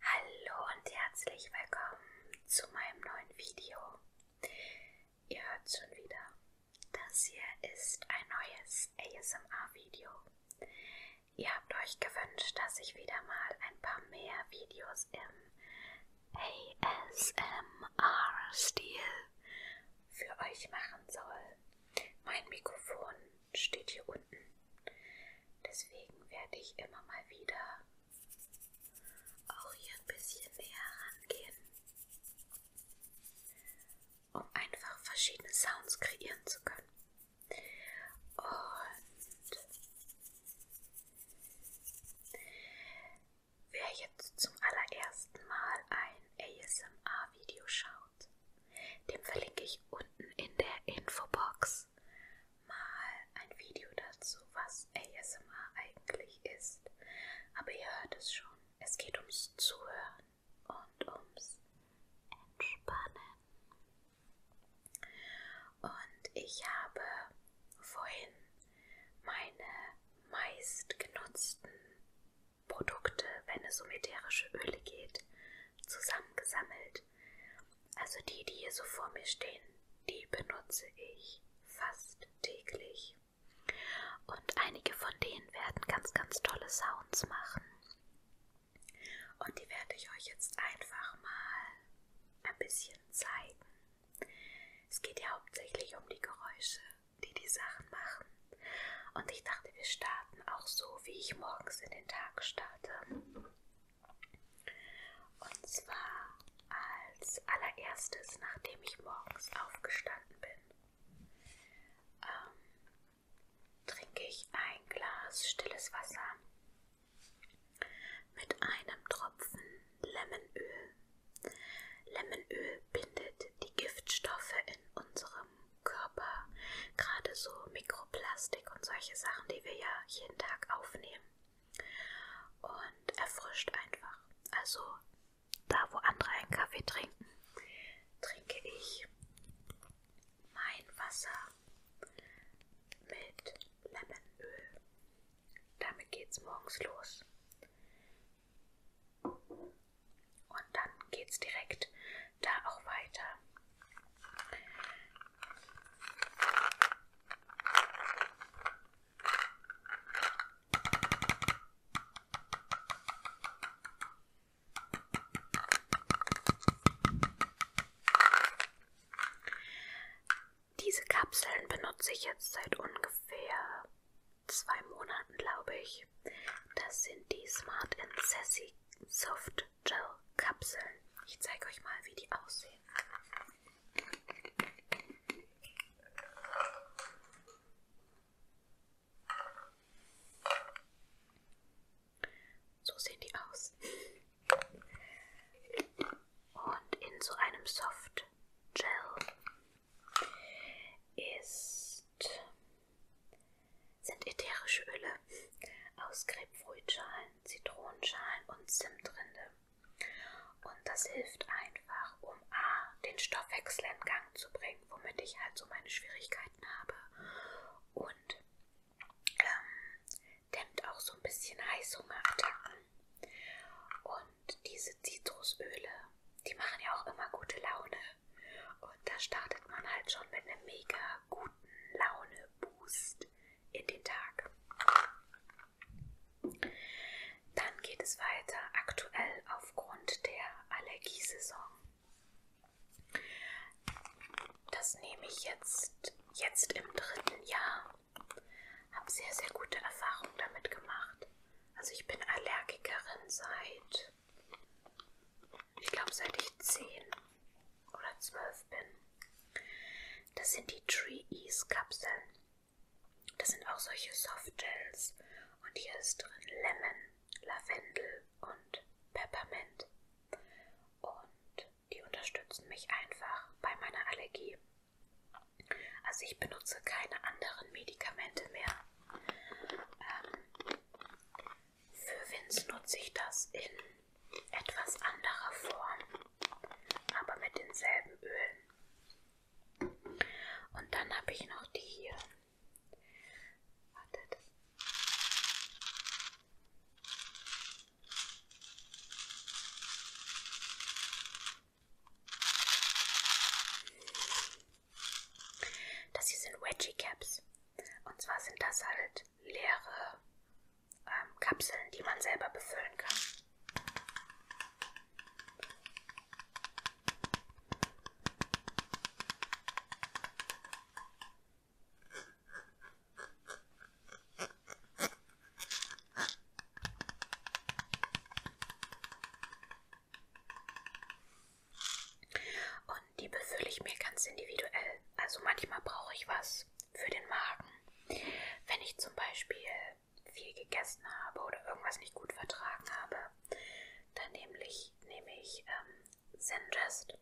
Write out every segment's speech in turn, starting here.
Hallo und herzlich willkommen zu meinem neuen Video. Ihr hört schon wieder, das hier ist ein neues ASMR-Video. Ihr habt euch gewünscht, dass ich wieder mal ein paar mehr Videos im ASMR-Stil für euch machen soll. Mein Mikrofon steht hier unten. Deswegen werde ich immer mal wieder auch hier ein bisschen näher rangehen, um einfach verschiedene Sounds kreieren zu können. Und wer jetzt zum allerersten Mal ein ASMR-Video schaut, Sounds. Dem verlinke ich unten in der Infobox mal ein Video dazu, was ASMR eigentlich ist. Aber ihr hört es schon, es geht ums Zuhören und ums Entspannen. Und ich habe vorhin meine meist genutzten Produkte, wenn es um ätherische Öle geht, zusammengesammelt also die, die hier so vor mir stehen, die benutze ich fast täglich. Und einige von denen werden ganz, ganz tolle Sounds machen. Und die werde ich euch jetzt einfach mal ein bisschen zeigen. Es geht ja hauptsächlich um die Geräusche, die die Sachen machen. Und ich dachte, wir starten starten, auch so wie ich morgens in den Tag starte. Und zwar als allererstes, nachdem ich morgens aufgestanden bin, ähm, trinke ich ein Glas stilles Wasser mit einem Tropfen Lemonöl. Lemonöl bindet die Giftstoffe in unserem vom Körper, gerade so Mikroplastik und solche Sachen, die wir ja jeden Tag aufnehmen. Und erfrischt einfach. Also da, wo andere einen Kaffee trinken, trinke ich mein Wasser mit Lemonöl. Damit geht's morgens los. Und dann geht es direkt da auch weiter. Diese Kapseln benutze ich jetzt seit ungefähr zwei Monaten, glaube ich durch. Das sind die Smart and Sassy Soft Gel Kapseln. Ich zeige euch mal, wie die aussehen. So sehen die aus. Und in so einem Soft Gel ist sind ätherische Öle aus Grapefruitschalen, Zitronenschalen und Zimtrinde. Und das hilft einfach, um A, den Stoffwechsel in Gang zu bringen, womit ich halt so meine Schwierigkeiten habe. Und ähm, dämmt auch so ein bisschen Heißhungerattacken. Und diese Zitrusöle die machen ja auch immer gute Laune. Und da startet man halt schon mit einem mega guten Laune-Boost in den Tag. Dann geht es weiter aktuell aufgrund der Allergiesaison. Das nehme ich jetzt, jetzt im dritten Jahr. Habe sehr, sehr gute Erfahrungen damit gemacht. Also ich bin Allergikerin seit ich glaube seit ich 10 oder 12 bin. Das sind die Tree Ease Kapseln. Das sind auch solche Softgels. Und hier ist drin Lemon, Lavendel und Peppermint. Und die unterstützen mich einfach bei meiner Allergie. Also ich benutze keine anderen Medikamente mehr. Ähm, für Wins nutze ich das in etwas anderer Form, aber mit denselben Ölen. Und dann habe ich noch die hier. Wartet. Das hier sind Wedgie Caps. Und zwar sind das halt leere ähm, Kapseln, die man selber befüllen kann. Und die befülle ich mir ganz individuell. Also manchmal brauche ich was für den Magen. Wenn ich zum Beispiel viel gegessen habe oder irgendwas nicht gut vertragen habe, dann nehme ich, nehme ich ähm, Zingest.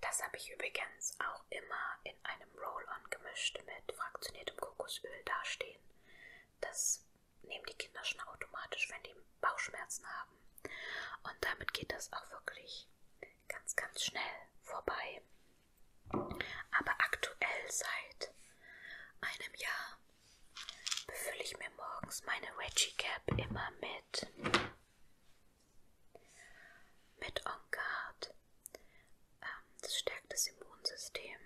Das habe ich übrigens auch immer in einem Roll-On gemischt mit fraktioniertem Kokosöl dastehen. Das nehmen die Kinder schon automatisch, wenn die Bauchschmerzen haben. Und damit geht das auch wirklich ganz, ganz schnell vorbei. Aber aktuell seit einem Jahr befülle ich mir morgens meine Veggie Cap immer mit mit On Guard. Ähm, das stärkt das Immunsystem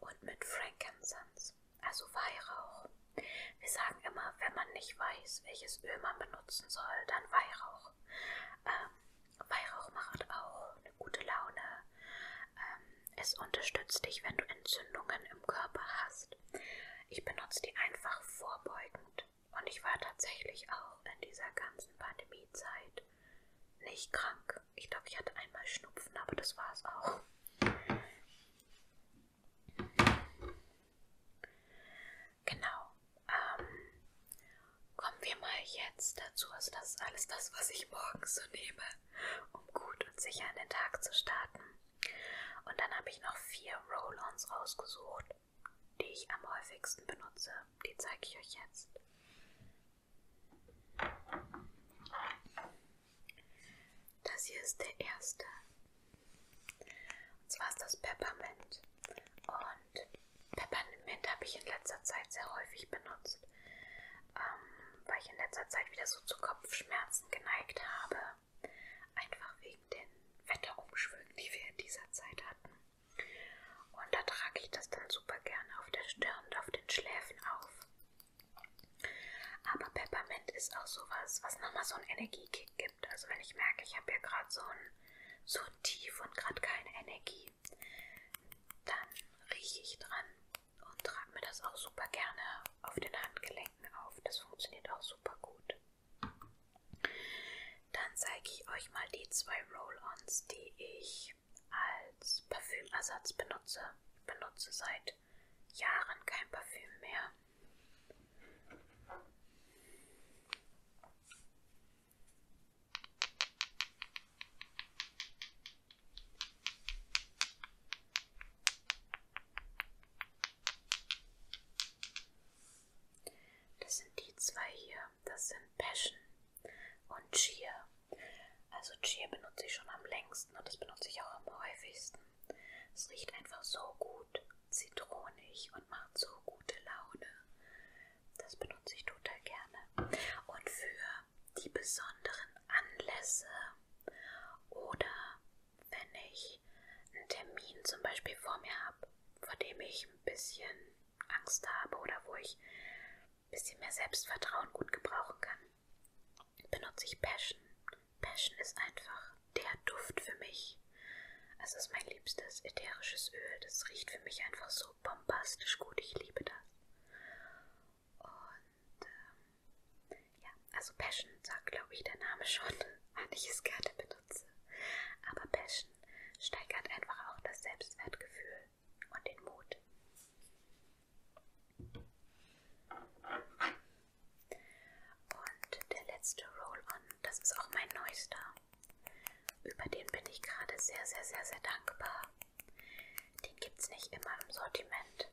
und mit Frankincense, also Weihrauch. Wir sagen immer, wenn man nicht weiß, welches Öl man benutzen soll, dann Weihrauch. Ähm, Weihrauch macht auch eine gute Laune. Ähm, es unterstützt dich, wenn du Entzündungen im Körper hast. Ich benutze die einfach vorbeugend. Und ich war tatsächlich auch in dieser ganzen Pandemiezeit nicht krank. Ich glaube, ich hatte einmal Schnupfen, aber das war es auch. Genau. Ähm, kommen wir mal jetzt dazu. Also das ist alles das, was ich morgens so nehme, um gut und sicher in den Tag zu starten. Und dann habe ich noch vier Roll-Ons rausgesucht, die ich am häufigsten benutze. Die zeige ich euch jetzt. Das hier ist der erste. Und zwar ist das Peppermint. Und Peppermint habe ich in letzter Zeit sehr häufig benutzt, ähm, weil ich in letzter Zeit wieder so zu Kopfschmerzen geneigt habe. Einfach wegen den Wetterumschwüngen, die wir in dieser Zeit hatten. Und da trage ich das dann super gerne auf der Stirn und auf den Schläfen auf. Aber Peppermint ist auch sowas, was nochmal so einen Energiekick gibt. Also wenn ich merke, ich habe ja gerade so ein, so ein Tief und gerade keine Energie, dann rieche ich dran und trage mir das auch super gerne auf den Handgelenken auf. Das funktioniert auch super gut. Dann zeige ich euch mal die zwei Roll-Ons, die ich als Parfümersatz benutze. Ich benutze seit Jahren kein Parfüm mehr. Das sind die zwei hier das sind Passion und Cheer. Also Cheer benutze ich schon am längsten und das benutze ich auch am häufigsten. Es riecht einfach so gut, zitronig und macht so gute Laune. Das benutze ich total gerne. Und für die besonderen Anlässe oder wenn ich einen Termin zum Beispiel vor mir habe, vor dem ich ein bisschen Angst habe oder wo ich ein bisschen mehr Selbstvertrauen gut gebrauchen kann, benutze ich Passion. Passion ist einfach der Duft für mich. Es ist mein liebstes ätherisches Öl. Das riecht für mich einfach so bombastisch gut. Ich liebe das. Und ähm, ja, also Passion sagt, glaube ich, der Name schon, wann ich es gerne benutze. Aber Passion Menschen steigert einfach auch das Selbstwertgefühl und den Mut. Und der letzte Roll-On, das ist auch mein neuester. Über den bin ich gerade sehr, sehr, sehr, sehr dankbar. Den gibt es nicht immer im Sortiment.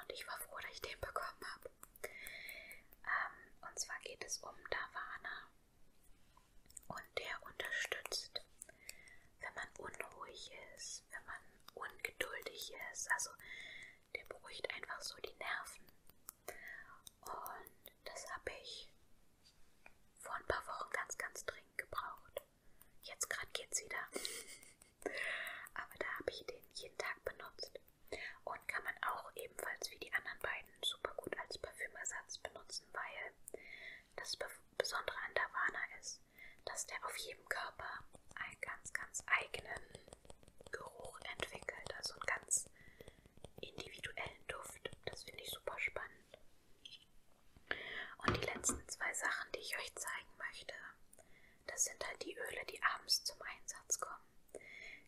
Und ich war froh, dass ich den bekommen habe. Ähm, und zwar geht es um Davana. Und der unterstützt, wenn man unruhig ist, wenn man ungeduldig ist. Also der beruhigt einfach so die Nerven. Und das habe ich vor ein paar Wochen ganz, ganz dringend gebraucht. Jetzt gerade geht's wieder. Aber da habe ich den jeden Tag benutzt. Und kann man auch ebenfalls wie die anderen beiden beiden super gut als Parfümersatz benutzen, weil das Besondere an Davana ist, dass der auf jedem Körper einen ganz, ganz eigenen Geruch entwickelt, also einen ganz individuellen Duft. Das finde ich super spannend. Und die letzten zwei Sachen, die ich euch zeigen möchte, das sind halt die Öle, die abends zum Einsatz kommen.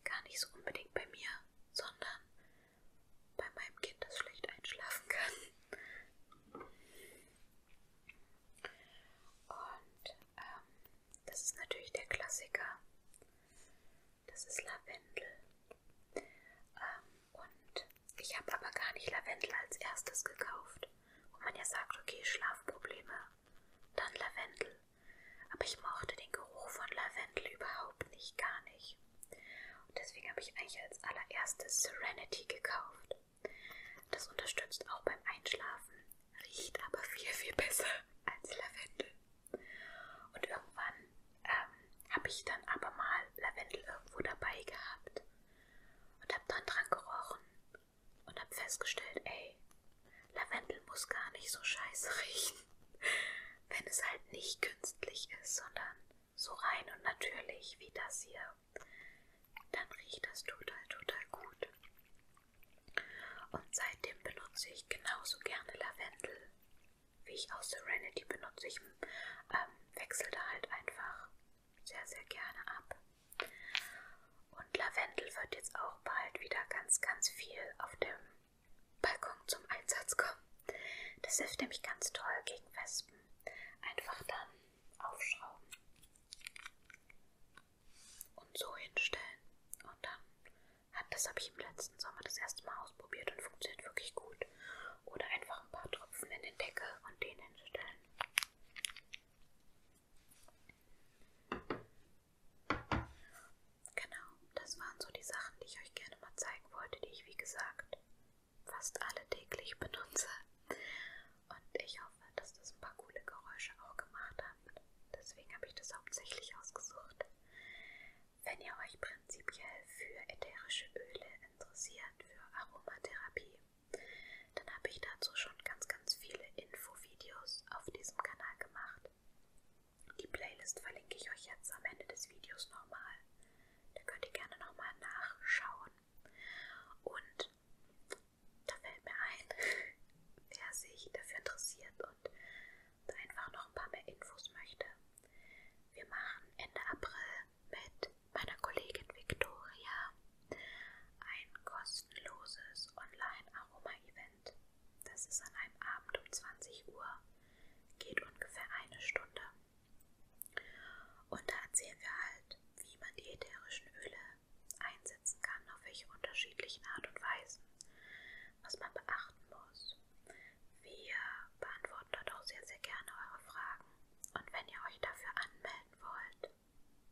Gar nicht so unbedingt bei mir, sondern bei meinem Kind, das schlecht einschlafen kann. Und ähm, das ist natürlich der Klassiker. Das ist Lavendel. Ähm, und ich habe aber gar nicht Lavendel als erstes gekauft. Wo man ja sagt, okay, Schlafprobleme, dann Lavendel. Aber ich mochte den Geruch von Lavendel überhaupt nicht, gar nicht. Und deswegen habe ich eigentlich als allererstes Serenity gekauft. Das unterstützt auch beim Einschlafen, riecht aber viel, viel besser als Lavendel. Und irgendwann ähm, habe ich dann aber mal Lavendel irgendwo dabei gehabt und habe dann dran gerochen und habe festgestellt, ey, Lavendel muss gar nicht so scheiße riechen. wenn es halt nicht künstlich ist, sondern so rein und natürlich wie das hier, dann riecht das total, total gut. Und seitdem benutze ich genauso gerne Lavendel, wie ich aus Serenity benutze. Ich ähm, wechsle da halt einfach sehr, sehr gerne ab. Und Lavendel wird jetzt auch bald wieder ganz, ganz viel auf dem Balkon zum Einsatz kommen. Das hilft nämlich ganz toll gegen Wespen. Einfach dann aufschrauben und so hinstellen. Und dann hat das habe ich im letzten Sommer das erste Mal ausprobiert und funktioniert wirklich gut. Oder einfach ein paar Tropfen in den Deckel und den hinstellen. Genau, das waren so die Sachen, die ich euch gerne mal zeigen wollte, die ich wie gesagt fast alle täglich benutze. Und ich hoffe, dass das ein paar coole Geräusche auch gemacht hat. Deswegen habe ich das hauptsächlich ausgesucht. Wenn ihr euch prinzipiell für ätherische Öle interessiert, für Aromatherapie, dann habe ich dazu schon ganz, ganz viele Infovideos auf diesem Kanal gemacht. Die Playlist verlinke ich euch jetzt am Ende des Videos nochmal. Da könnt ihr gerne nochmal nachschauen. Und da fällt mir ein, wer sich dafür interessiert und da einfach noch ein paar mehr Infos möchte. Wir machen Ende April mit meiner Kollegin Victoria ein kostenloses Online-Aroma-Event Advent. Das ist an einem Abend um 20 Uhr, geht ungefähr eine Stunde. Und da erzählen wir halt, wie man die ätherischen Öle einsetzen kann, auf welche unterschiedlichen Art und Weisen, was man beachten muss. Wir beantworten dort auch sehr, sehr gerne eure Fragen. Und wenn ihr euch dafür anmelden wollt,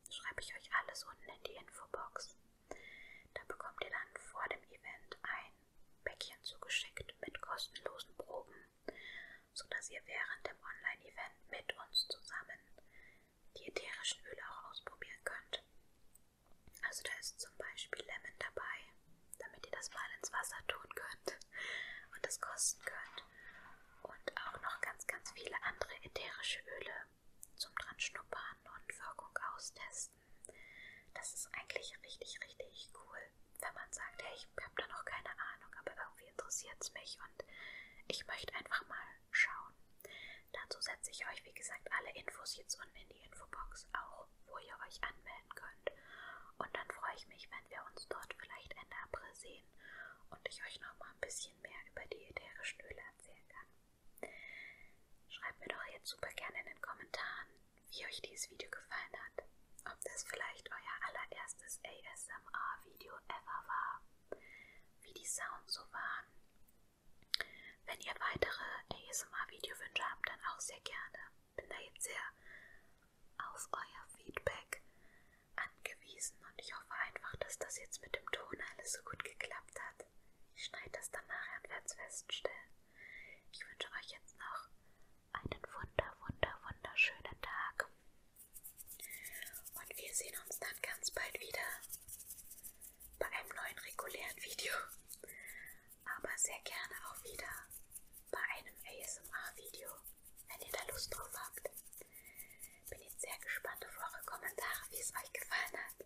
schreibe ich euch alles unten in die Infobox. Da bekommt ihr dann vor dem Event ein Päckchen zugeschickt mit kostenlosen Proben, sodass ihr während dem Online-Event mit uns zusammen die ätherischen Öle auch ausprobieren könnt. Also da ist zum Beispiel Lemon dabei, damit ihr das mal ins Wasser tun könnt und das kosten könnt. Und auch noch ganz, ganz viele andere ätherische Öle, zum dran schnuppern und Wirkung austesten. Das ist eigentlich richtig, richtig cool, wenn man sagt, hey, ich habe da noch keine Ahnung, aber irgendwie interessiert es mich und ich möchte einfach mal schauen. Dazu setze ich euch, wie gesagt, alle Infos jetzt unten in die Infobox, auch wo ihr euch anmelden könnt. Und dann freue ich mich, wenn wir uns dort vielleicht Ende April sehen und ich euch noch mal ein bisschen mehr über die ätherischen Öle erzählen kann. Schreibt mir doch jetzt super gerne in den Kommentaren, wie euch dieses Video gefallen hat. Ob das vielleicht euer allererstes ASMR-Video ever war. Wie die Sounds so waren. Wenn ihr weitere ASMR-Videowünsche habt, dann auch sehr gerne. Bin da jetzt sehr auf euer Feedback angewiesen hingewiesen und ich hoffe einfach, dass das jetzt mit dem Ton alles so gut geklappt hat. Ich schneide das dann nachher und werde es feststellen. Ich wünsche euch jetzt noch einen wunder, wunder, wunderschönen Tag. Und wir sehen uns dann ganz bald wieder bei einem neuen regulären Video. Aber sehr gerne auch wieder bei einem ASMR-Video, wenn ihr da Lust drauf habt. Bin jetzt sehr gespannt auf eure Kommentare, wie es euch gefallen hat.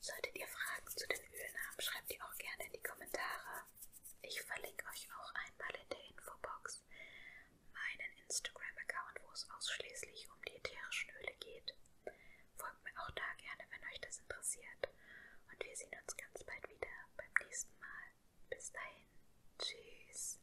Solltet ihr Fragen zu den Ölen haben, schreibt die auch gerne in die Kommentare. Ich verlinke euch auch einmal in der Infobox meinen Instagram-Account, wo es ausschließlich um die ätherischen Öle geht. Folgt mir auch da gerne, wenn euch das interessiert. Und wir sehen uns ganz bald wieder beim nächsten Mal. Bis dahin. Tschüss.